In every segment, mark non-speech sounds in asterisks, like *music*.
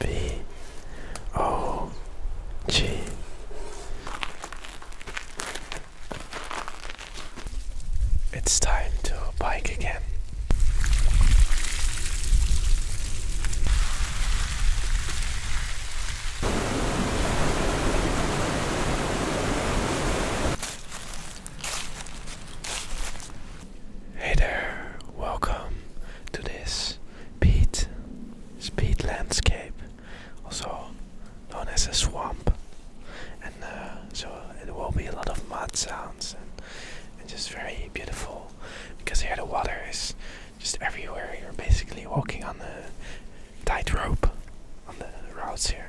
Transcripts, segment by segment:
V O G It's time to bike again. Hey there, welcome to this peat speed landscape, also known as a swamp. And uh, so it will be a lot of mud sounds and, and just very beautiful because here the water is just everywhere. You're basically walking on the tightrope on the routes here.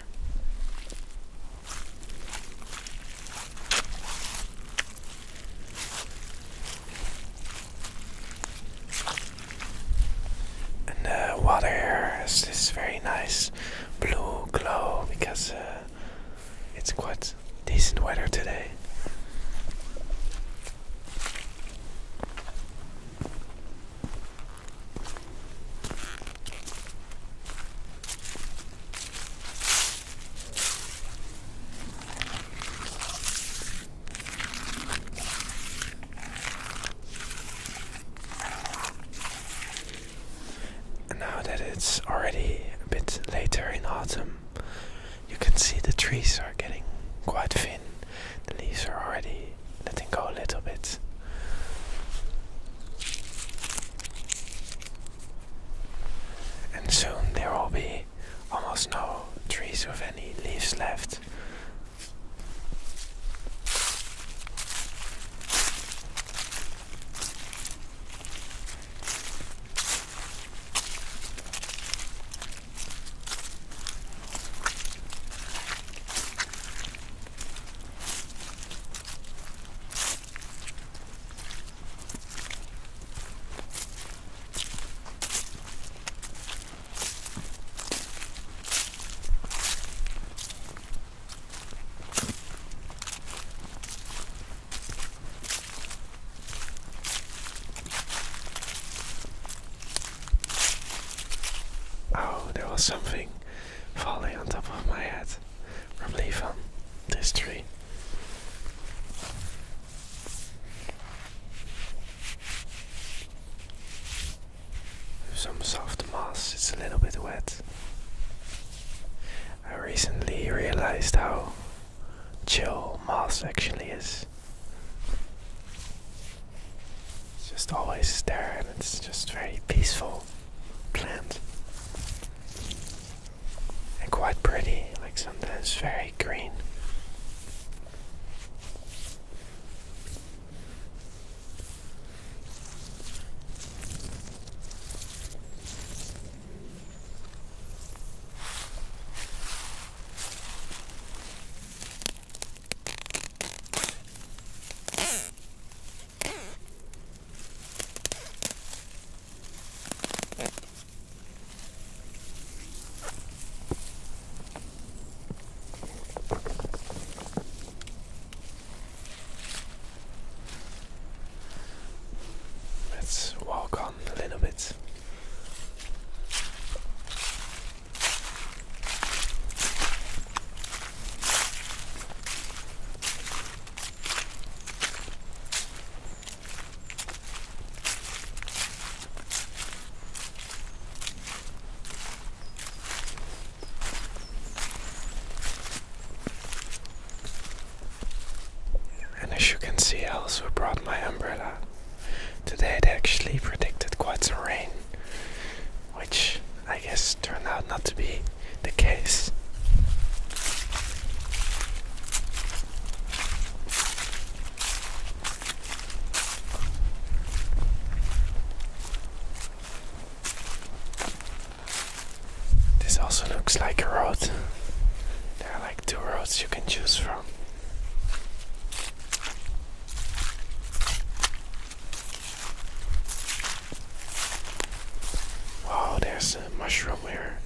And the uh, water here has this very nice blue glow because uh, it's quite decent weather today now that it's already a bit later in autumn, you can see the trees are getting quite thin. The leaves are already letting go a little bit. And soon there will be almost no trees with any leaves left. Oh, there was something falling on top of my head from leaf on this tree. Some soft moss, it's a little bit wet. I recently realized how chill moss actually is. It's just always there and it's just very peaceful plant. And quite pretty, like sometimes very green. Let's walk on a little bit. And as you can see, I also brought my umbrella. Today, they actually predicted quite some rain, which I guess turned out not to be the case. This also looks like a road. There are like two roads you can choose from. Wow, there's a mushroom here.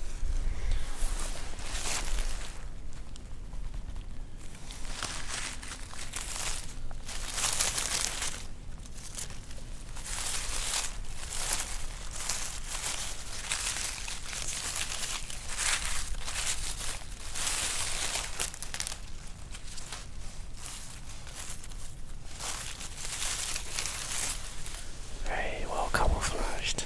Very well camouflaged.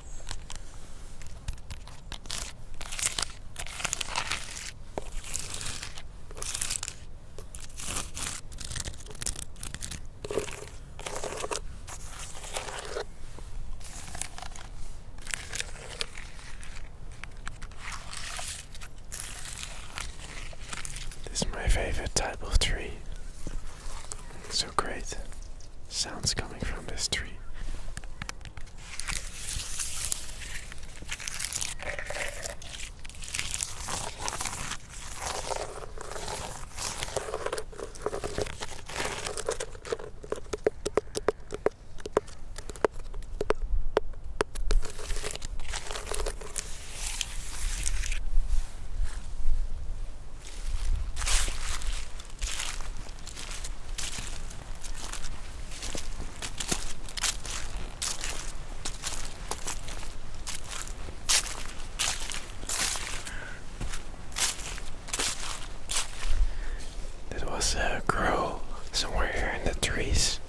This is my favorite type of tree. So great sounds coming from this tree. That was a crow somewhere here in the trees.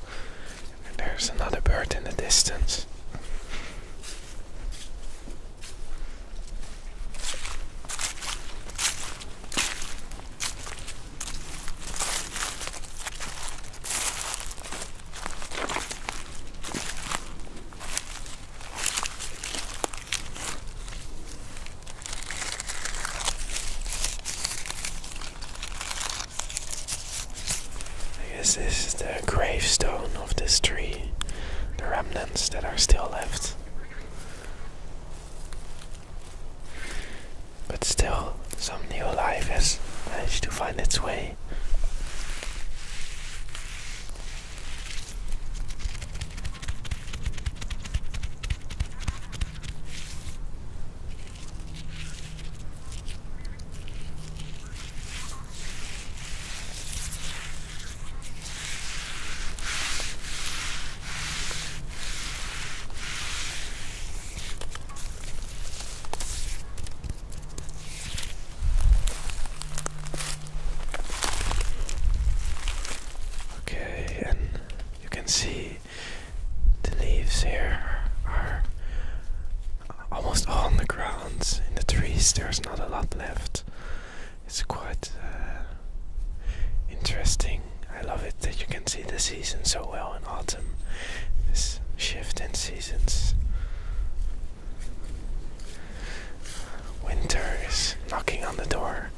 there's another bird in the distance. I guess this is the gravestone of this tree, the remnants that are still left. But still, some new life has managed to find its way. Okay, and you can see the leaves here are almost all on the ground. In the trees, there's not a lot left. It's quite uh, interesting. I love it that you can see the season so well in autumn. This shift in seasons. Winter is knocking on the door.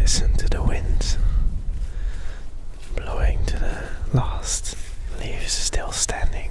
Listen to the winds blowing to the last leaves still standing.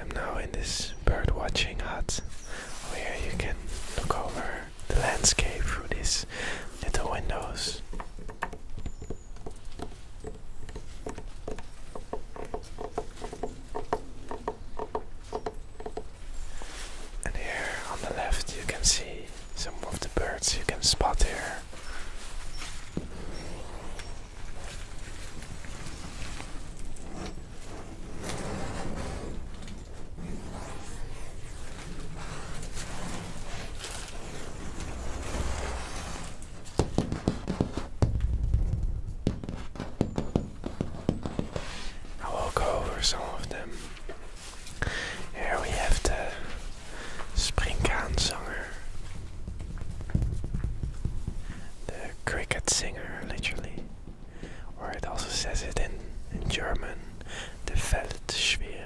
I'm now in this bird watching hut where you can look over the landscape through these little windows. And here on the left, you can see some of the birds you can spot here. I will go over some of them. Here we have the Springkaanzanger. The cricket singer, literally. Or it also says it in, German. The Feldschlier.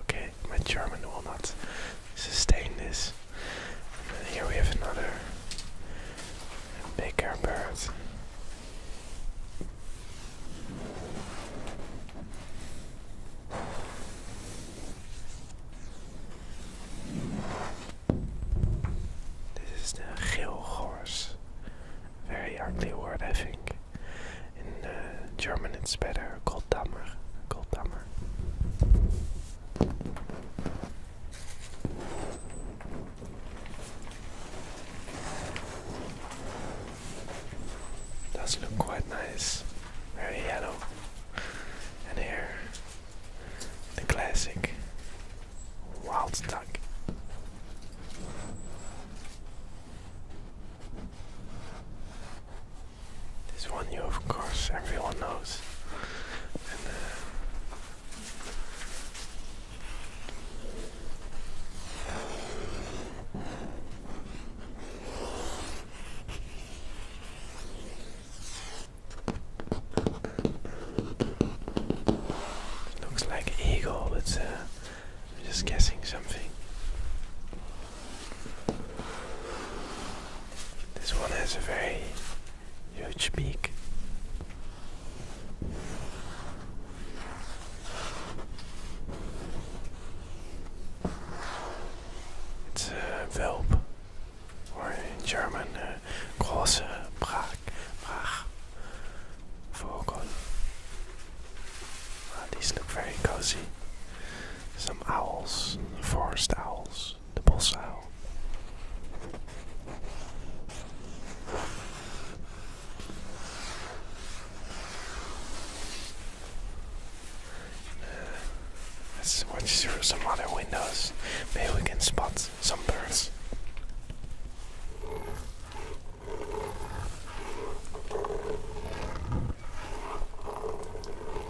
Okay, my German will not sustain this. here we have another bigger bird. This is the horse. Very ugly word, I think. In uh, German, it's better. Goldammer. Goldammer door. Does look quite nice. Very yellow. And here, the classic wild duck. This one you of course everyone knows. And, uh, looks like eagle, but uh, I'm just guessing something. This one has a very huge beak. It's a whelp, or in German, große Brach, Brach Vogel. Ah, these look very cozy. Some owls, forest owls, the bull's owl. let's watch through some other windows. Maybe we can spot some birds. Oh.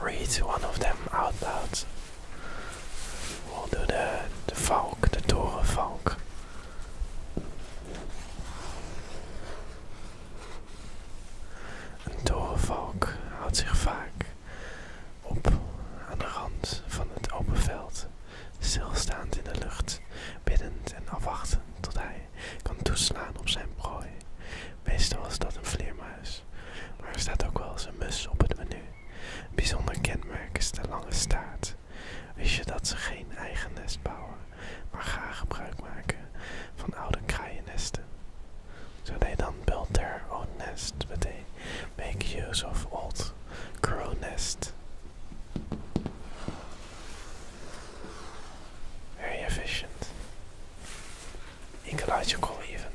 Read one of them out loud. We'll do the the Falk, the Tore Falk. Een torenvalk houdt zich vaak op aan de rand van het open veld, stilstaand in de lucht, biddend en afwachtend tot hij kan toeslaan op zijn prooi. Meestal is dat een vleermuis, maar er staat ook wel eens een mus op het menu. bijzonder kenmerk is de lange staart, Wist je dat ze geen eigen nest bouwen, maar graag gebruik maken van oude kraaiennesten? So they then build their own nest, but they make use of old crow nest. Very efficient. Ecological even.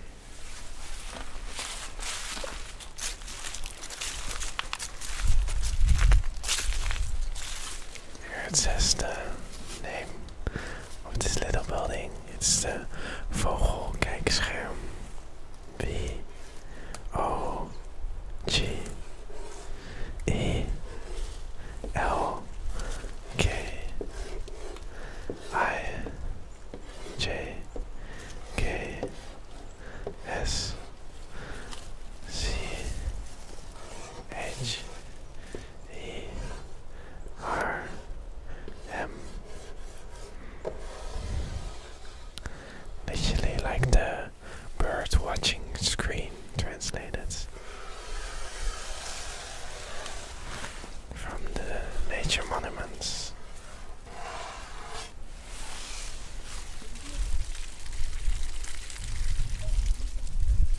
Here it says the name of oh, this little building. It's the Vogelkijkscherm. B O G E L K I J K S C H E R M Literally like the bird watching screen translated from the nature monuments.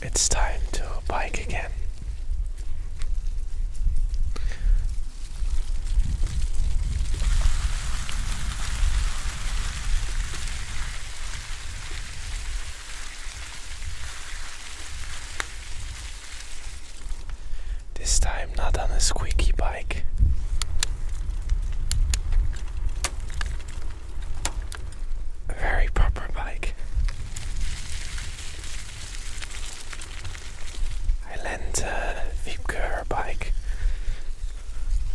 It's time to bike again. This time not on a squeaky bike, a very proper bike. I lent uh, her bike.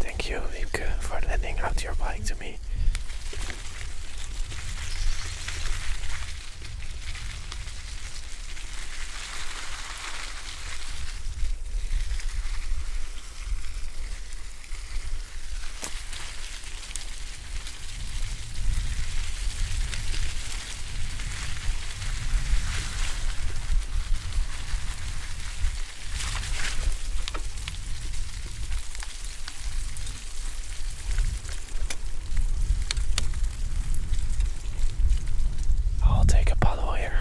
Thank you, Wiebke, for lending out your bike to me. I'll take a bottle here.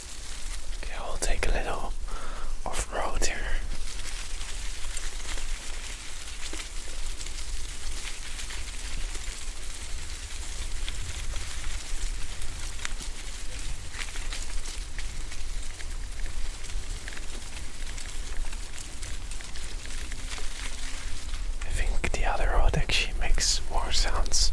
Okay, we'll take a little off road here. I think the other road actually makes more sounds.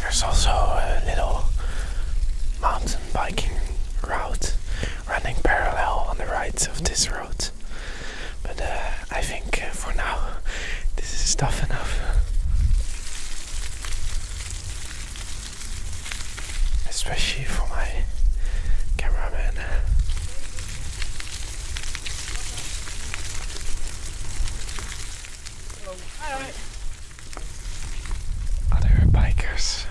There's also a little mountain biking route running parallel on the right of this road. But uh, I think uh, for now this is tough enough especially for my cameraman. Other bikers.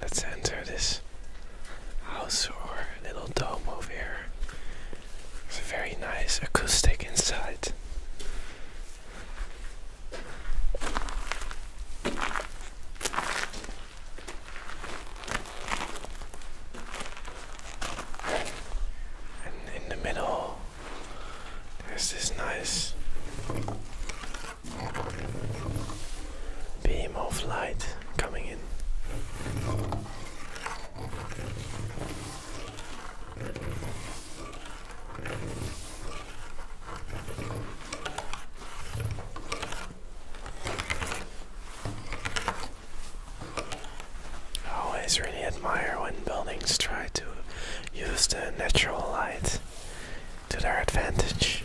Let's enter this house or little dome over here. It's a very nice acoustic inside. And in the middle, there's this nice beam of light coming in. I always really admire when buildings try to use the natural light to their advantage.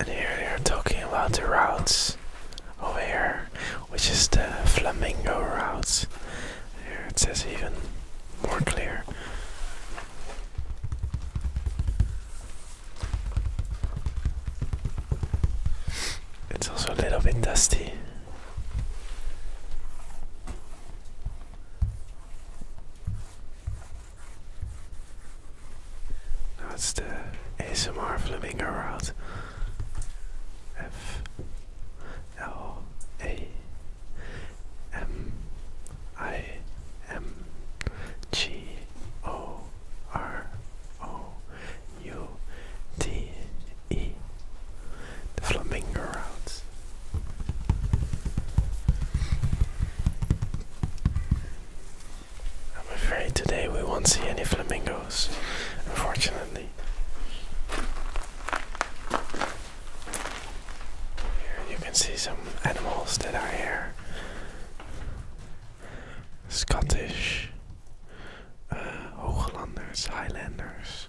And here they are talking about the routes over here, which is the flamingo routes. Here it says even more clear. It's also a little bit dusty. That's the ASMR flamingo route. F L A M I M G O R O U T E. The flamingo route. I'm afraid today we won't see any flamingos, unfortunately. Here you can see some animals that are here. Scottish, uh, Highlanders.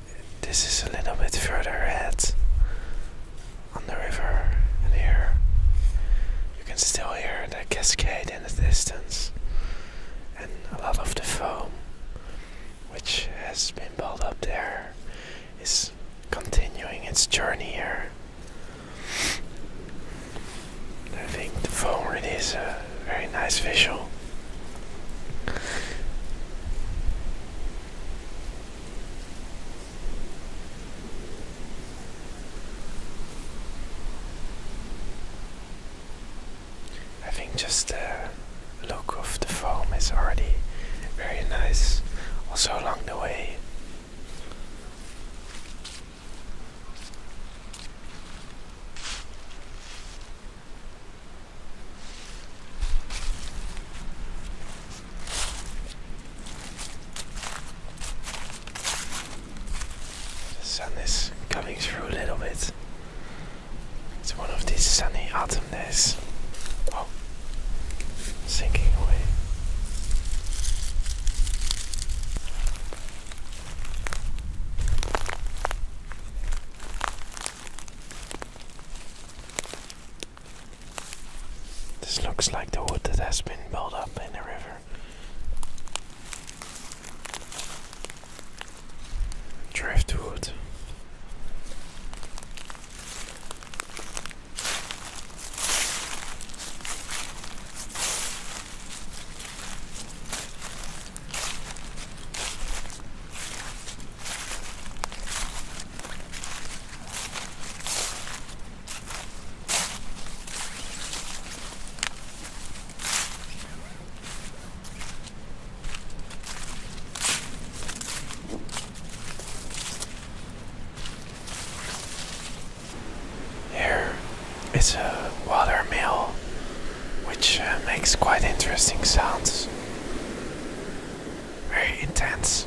This is a little bit further ahead on the river, and here you can still hear the cascade in the distance and a lot of the foam which has been built up there is continuing its journey here. I think the foam really is uh, very nice visual. I think just the look of the foam is already very nice, also along the way. The sun is coming through a little bit. It's one of these sunny autumn days. Oh, sinking away. This looks like the wood that has been built up in the river. Driftwood. Here is a watermill which uh, makes quite interesting sounds. Very intense.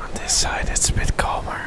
On this side, it's a bit calmer.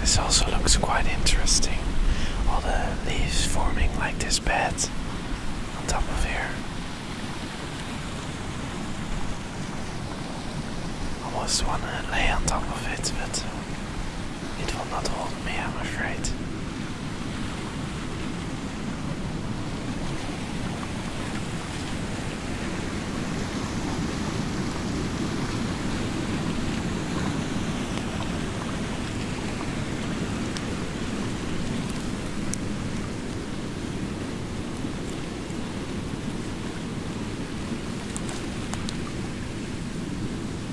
This also looks quite interesting. All the leaves forming like this bed on top of here. I Almost wanna lay on top of it, but it will not hold me, I'm afraid.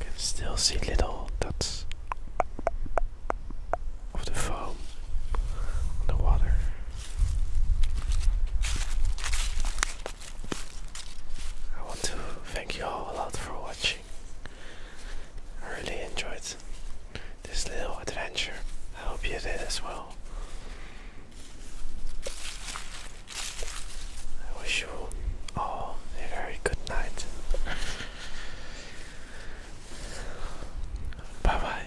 Can still see little dots of the foam on the water. I want to thank you all a lot for watching. I really enjoyed this little adventure. I hope you did as well. I wish you all a very good night. *laughs* Bye bye.